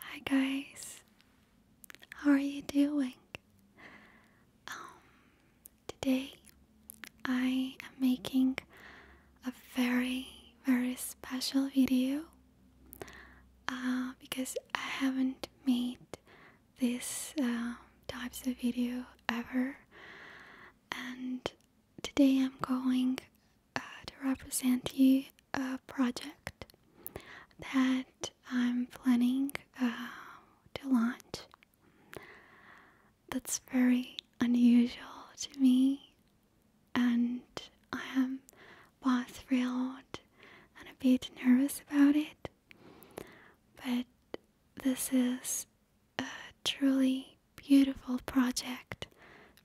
Hi guys, how are you doing? Um, today I am making a very, very special video uh, because I haven't made this um, types of video ever, and today I'm going uh, to represent a project that I'm planning uh, to launch. That's very unusual to me, and I am both thrilled and a bit nervous about it. But this is a truly beautiful project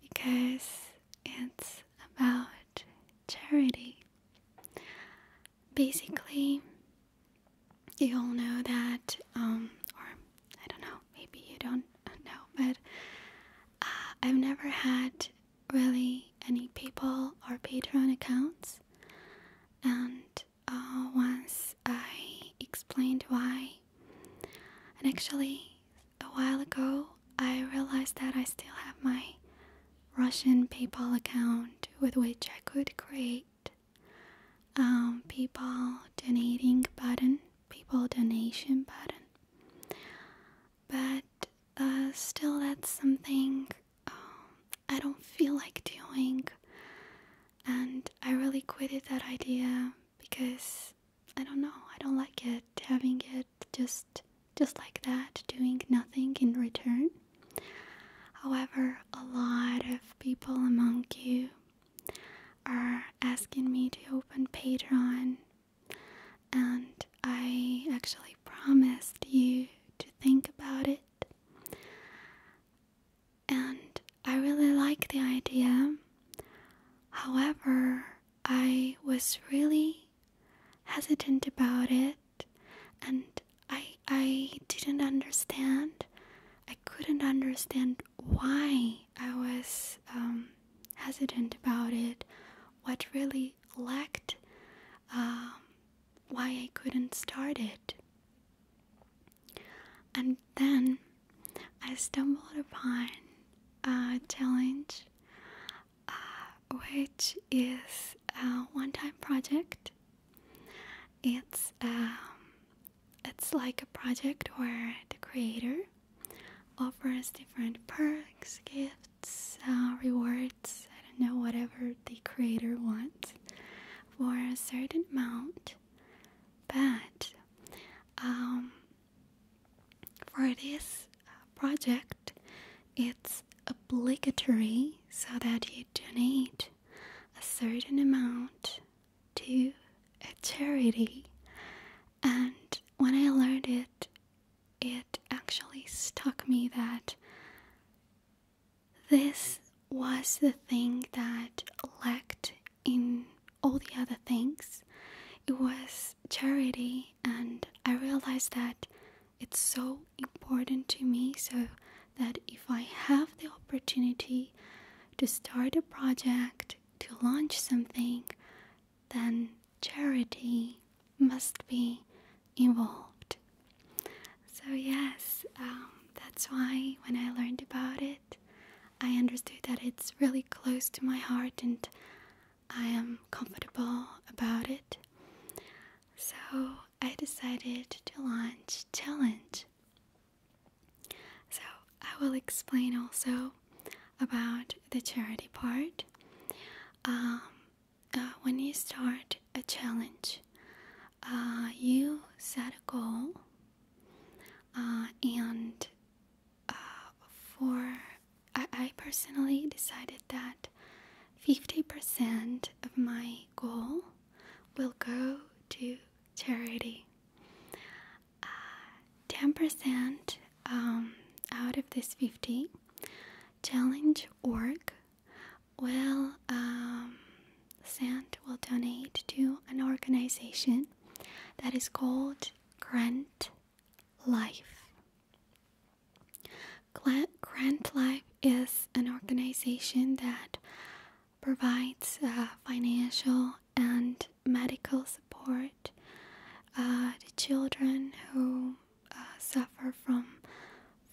because it's about charity. Basically, you all know that, um, or I don't know, maybe you don't know, but uh, I've never had really any people or Patreon accounts. And uh, once I explained why, and actually, a while ago, I realized that I still have my Russian PayPal account with which I could create um, PayPal donating button, PayPal donation button. But uh, still, that's something um, I don't feel like doing, and I really quitted that idea because I don't know. I don't like it having it just just like that, doing nothing in return. However, a lot of people among you are asking me to open Patreon, and I actually promised you to think about it. And I really like the idea. However, I was really hesitant about it and I I didn't understand. I couldn't understand why I was um, hesitant about it. What really lacked, um, why I couldn't start it. And then I stumbled upon a challenge uh, which is a one-time project. It's um, it's like a project where the creator offers different perks, gifts, uh, rewards. I don't know whatever the creator wants for a certain amount, but um, for this uh, project, it's obligatory so that you donate a certain amount to a charity. And when I learned it, it actually stuck me that this was the thing that lacked in all the other things. It was charity and I realized that it's so important to me so that if I have the opportunity to start a project, to launch something, then charity must be involved. So, yes, um, that's why when I learned about it, I understood that it's really close to my heart and I am comfortable about it. So I decided to launch challenge. So I will explain also about the charity part. Um, uh, when you start a challenge, uh, you set a goal uh, and uh, for I, personally decided that 50% of my goal will go to charity. 10% uh, um, out of this 50 challenge org will um, send will donate to an organization that is called grant Life. Grant Life is an organization that provides uh, financial and medical support uh, to children who uh, suffer from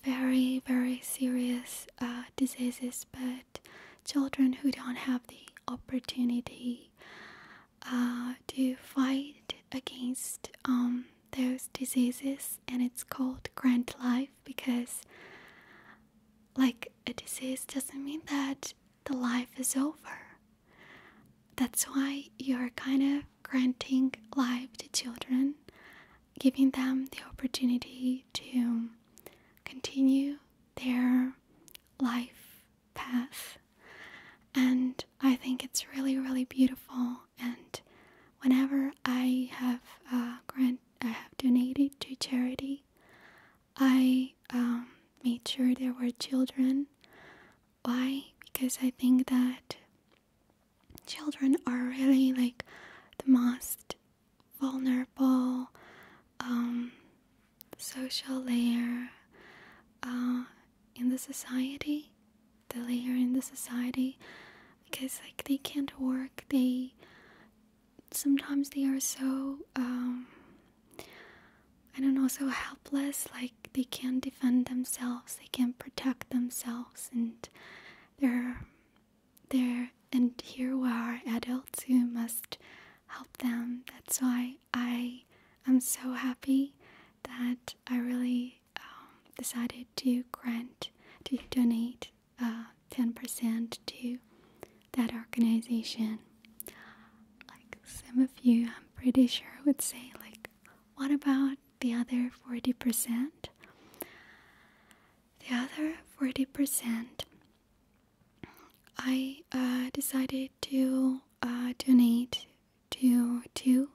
very, very serious diseases, but children who don't have the opportunity uh, to fight against um, those diseases, and it's called grant Life because, like, a disease doesn't mean that the life is over. That's why you're kind of granting life to children, giving them the opportunity to continue their life path. And I think it's really, really beautiful. And whenever I have uh, grant, I have donated to charity, I um, made sure there were children. Why? Because I think that children are really like the most vulnerable um, social layer. Uh, in the society the layer in the society because like they can't work they sometimes they are so um i don't know so helpless like they can't defend themselves they can't protect themselves and they're there and here we are adults who must help them that's why i am so happy that I really um, decided to grant to donate 10% uh, to that organization. Like some of you, I'm pretty sure, would say, like, what about the other 40%? The other 40%, I uh, decided to uh, donate due to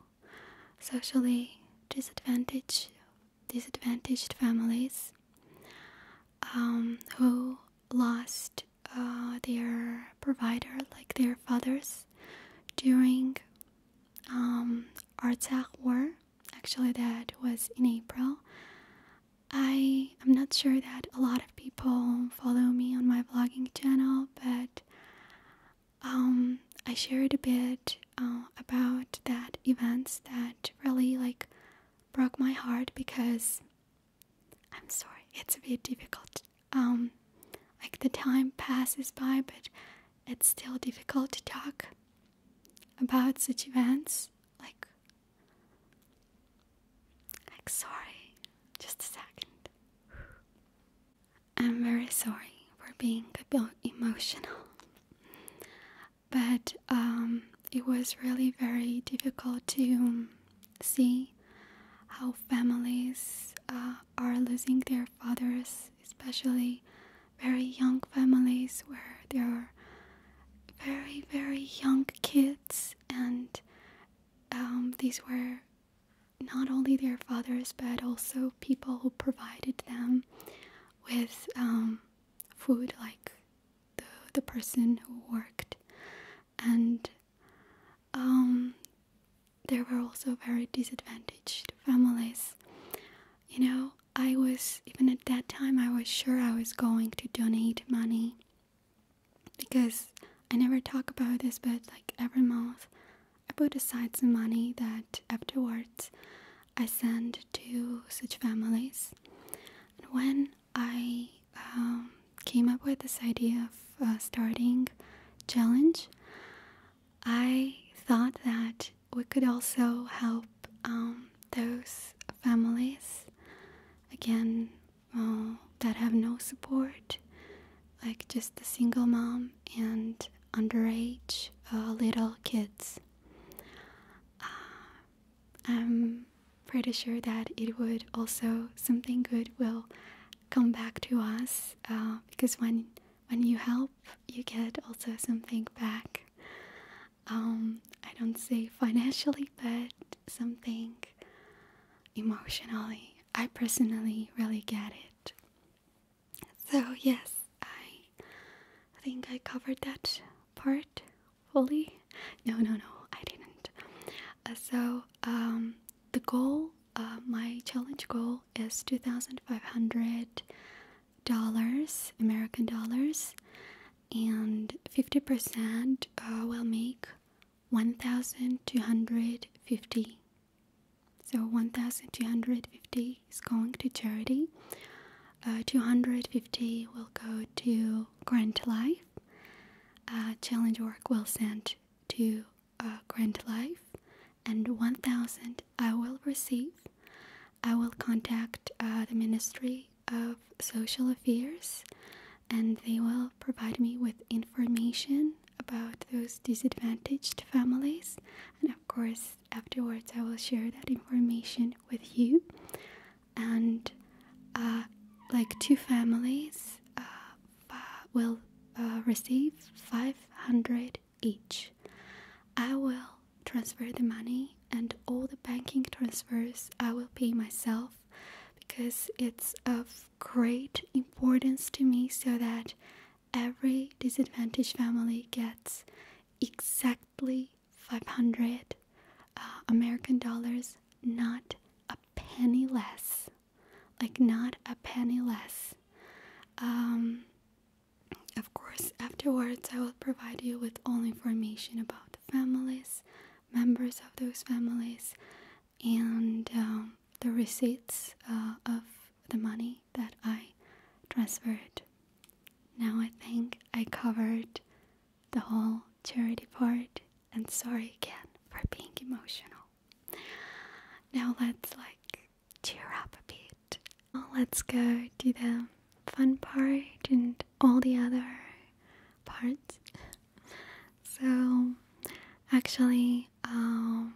socially disadvantaged disadvantaged families um, who lost uh, their provider, like their fathers, during um, Artsakh War. Actually, that was in April. I am not sure that a lot of people follow me on my vlogging channel, but um, I shared a bit uh, about that events that really like broke my heart because I'm sorry, it's a bit difficult. Um, like the time passes by, but it's still difficult to talk about such events. Like, like sorry, just a second. I'm very sorry for being a bit emotional. But um, it was really very difficult to see how families uh, are losing their fathers, especially very young families where there are very, very young kids, and um, these were not only their fathers but also people who provided them with um, food, like the person who worked, and um, there were also very disadvantaged families. You know, I was even at that time I was sure I was going to donate money because I never talk about this, but like every month I put aside some money that afterwards I send to such families. And when I um, came up with this idea of uh, starting challenge, I thought that we could also help um, those families again uh, that have no support like just a single mom and underage uh, little kids. Uh, I'm pretty sure that it would also something good will come back to us uh, because when when you help, you get also something back. Um, I don't say financially, but something emotionally. I personally really get it. So, yes, I think I covered that part fully. No, no, no, I didn't. Uh, so, um, the goal, uh, my challenge goal is $2,500 American dollars, and 50% uh, will make 1,250 so 1,250 is going to charity. Uh, 250 will go to Grant Life. Uh, challenge work will send to uh, Grant Life, and 1,000 I will receive. I will contact the Ministry of Social Affairs, and they will provide me with information about those disadvantaged families, and of course, afterwards, I will share that information with you. And uh, like two families uh, will uh, receive 500 each. I will transfer the money and all the banking transfers I will pay myself because it's of great importance to me so that every disadvantaged family gets exactly 500 uh, American dollars, not a penny less. Like, not a penny less. Um, of course, afterwards, I will provide you with all information about the families, members of those families, and um, the receipts uh, of the money that I transferred. Now I think I covered the whole charity part and sorry again for being emotional. Now let's like cheer up a bit. Well, let's go do the fun part and all the other parts. so, actually, um,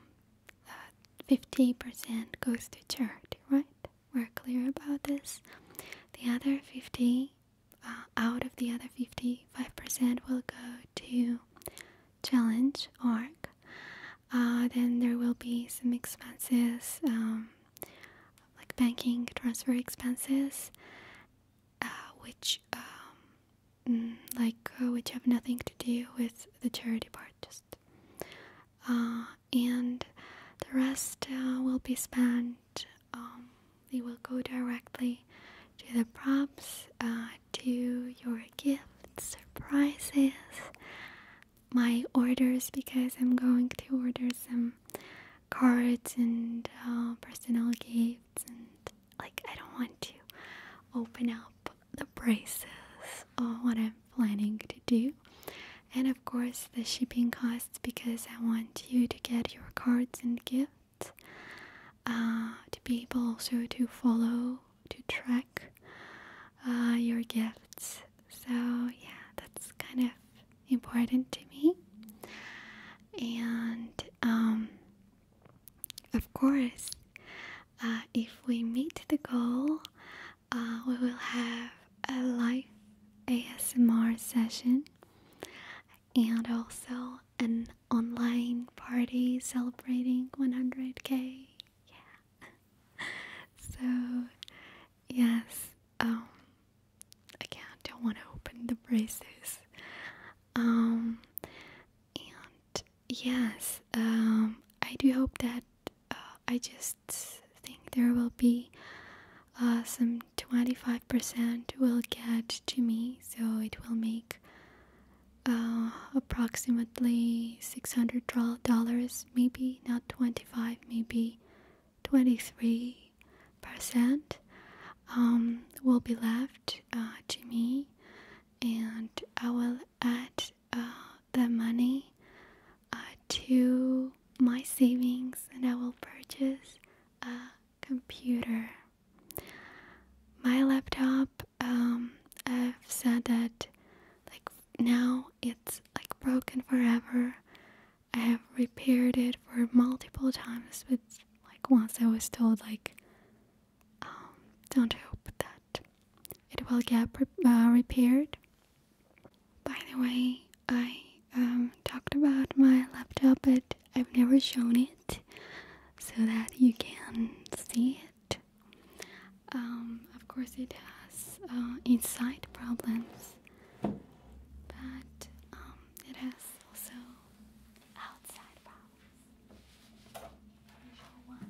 50% goes to charity, right? We're clear about this. The other 50, uh, out of the other fifty-five percent will go to challenge arc. Uh, then there will be some expenses um, like banking transfer expenses, uh, which um, Mm, like uh, which have nothing to do with the charity part, just uh, and the rest uh, will be spent. Um, they will go directly to the props, to your gifts, prizes, my orders because I'm going to order some cards and personal gifts and like I don't want to open up the prices of what I'm planning to do. And of course, the shipping costs because I want you to get your cards and gifts uh, to be able also to follow, to track uh, your gifts. So, yeah, that's kind of important to me. And um, of course, uh, if we meet the goal, uh, we will have a live ASMR session and also an online party celebrating 100k. Yeah. So, yes, um, again, don't want to open the braces. Um, and yes, um, I do hope that uh, I just think there will be uh, some 25% will get to me, so it will make uh, approximately $600, maybe not 25, maybe 23% um, will be left to me, and I will add uh, the money uh, to my savings and I will purchase a computer. My laptop, um, I've said that like now it's like broken forever. I have repaired it for multiple times, but like once I was told like um, don't hope that it will get uh, repaired. By the way, I um, talked about my laptop, but I've never shown it so that you can see it. Um, of course, it has uh, inside problems, but um, it has also outside problems.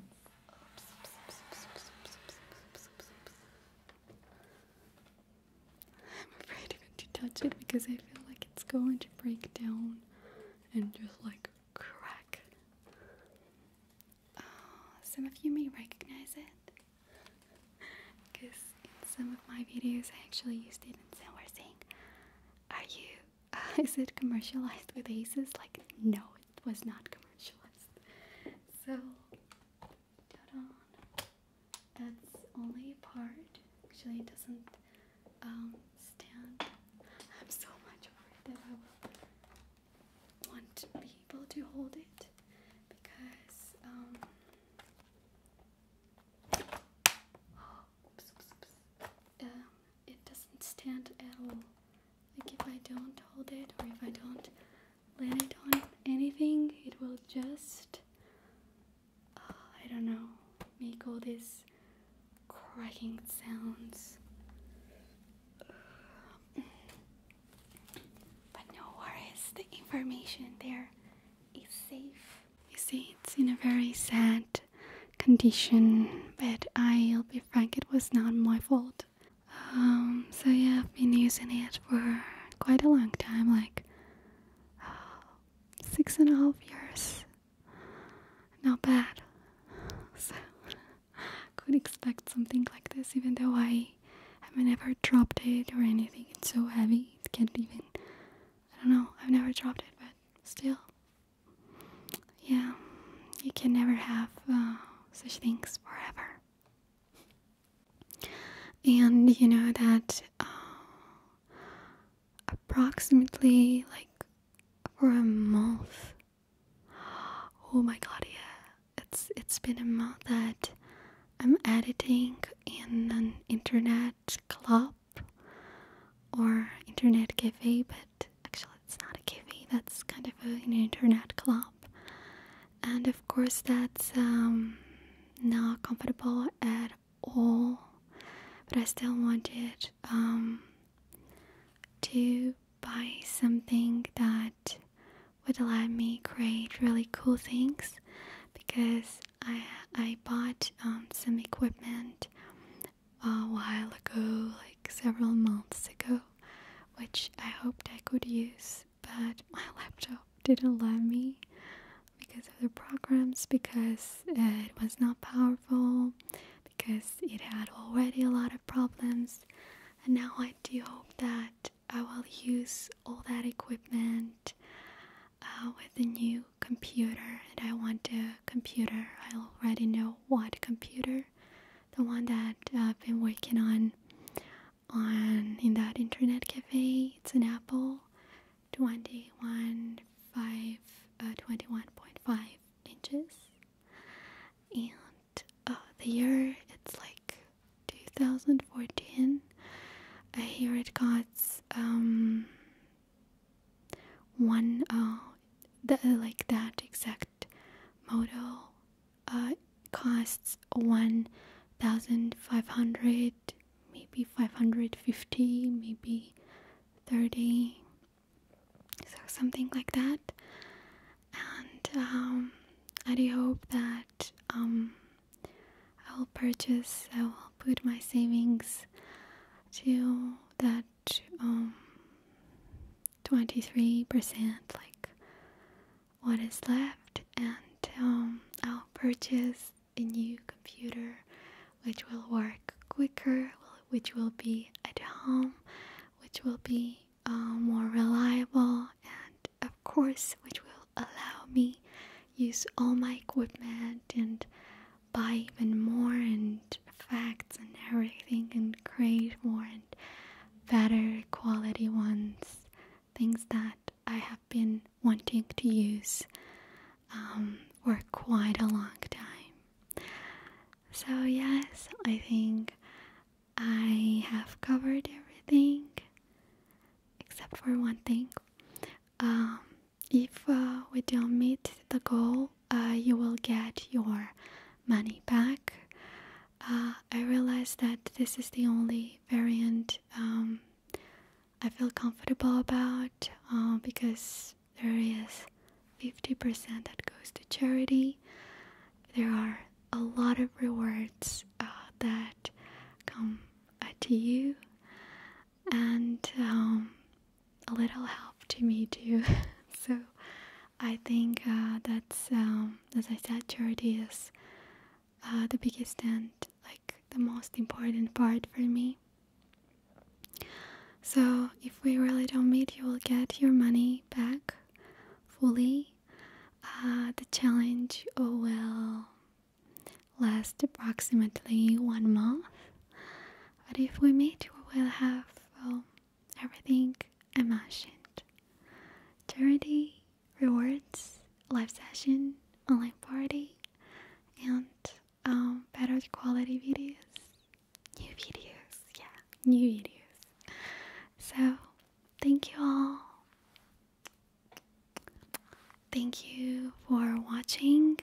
I'm afraid even to touch it because I feel like it's going to break down and just like crack. Uh, some of you may recognize it because in some of my videos I actually used it in San saying, Are you is it commercialized with aces like no it was not commercialized so that's only part actually it doesn't um, stand I'm so much afraid that I will want to be able to hold it because um, Um, it doesn't stand at all. Like if I don't hold it or if I don't let it on anything, it will just, uh, I don't know, make all these cracking sounds. But no worries, the information there is safe. You see, it's in a very sad condition, but I'll be frank, it was not my fault. Um, so yeah, I've been using it for quite a long time like six and a half years. Not bad. So, could expect something like this, even though I haven't ever dropped it or anything. It's so heavy, it can't even. I don't know, I've never dropped it, but still, yeah, you can never have uh, such things forever. And you know that uh, approximately like for a month. Oh my god, yeah. It's it's been a month that I'm editing in an internet club or internet cafe, but actually it's not a kiwi, that's kind of an internet club. And of course that's um, not comfortable at all, but I still wanted um, to buy something that would let me create really cool things because I I bought um, some equipment a while ago, like several months ago, which I hoped I could use, but my laptop didn't let me because of the programs, because it was not powerful, because it had already a lot of problems. And now I do hope that I will use all that equipment uh, with a new computer. And I want a computer. I already know what computer the one that uh, I've been working on on in that internet cafe. It's an Apple 21.5 uh, inches, and uh, the year it's like 2014. I hear it got um, one uh, like that exact Select uh, costs 1500 maybe 550 maybe 30 so something like that and um, i hope that um, i'll purchase i will put my savings to that um, 23% like what is left and um, I'll purchase a new computer which will work quicker which will be at home which will be uh, more reliable and of course which will allow me use all my equipment and buy even more and effects and everything and Great, create more and better quality ones, things that I have been wanting to use um, for quite a long time. So, yes, I think I have covered everything except for one thing. Um, if uh, we don't meet the goal uh, you will get your money back. Uh, I realize that this is the only variant um, I feel comfortable about uh, because there is 50% that goes to charity. There are a lot of rewards that come to you, and um, a little help to me too. so I think uh, that's um, as I said, charity is uh, the biggest and like the most important part for me. So if we really don't meet, you will get your money back fully. Uh, the challenge oh, will last approximately one month, but if we meet, we will have. Um, everything I mentioned. Charity, rewards, live session, online party, and um, better quality videos. New videos, yeah, new videos. So, thank you all. Thank you for watching.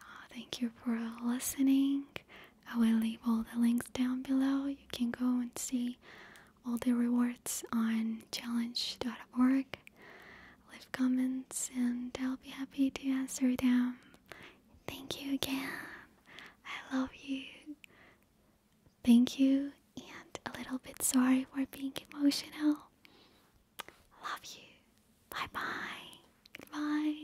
Uh, thank you for listening. I will leave all the links down below. You can go and see all the rewards on challenge.org. Leave comments and I'll be happy to answer them. Thank you again. I love you. Thank you and a little bit sorry for being emotional. Love you. Bye bye. Bye.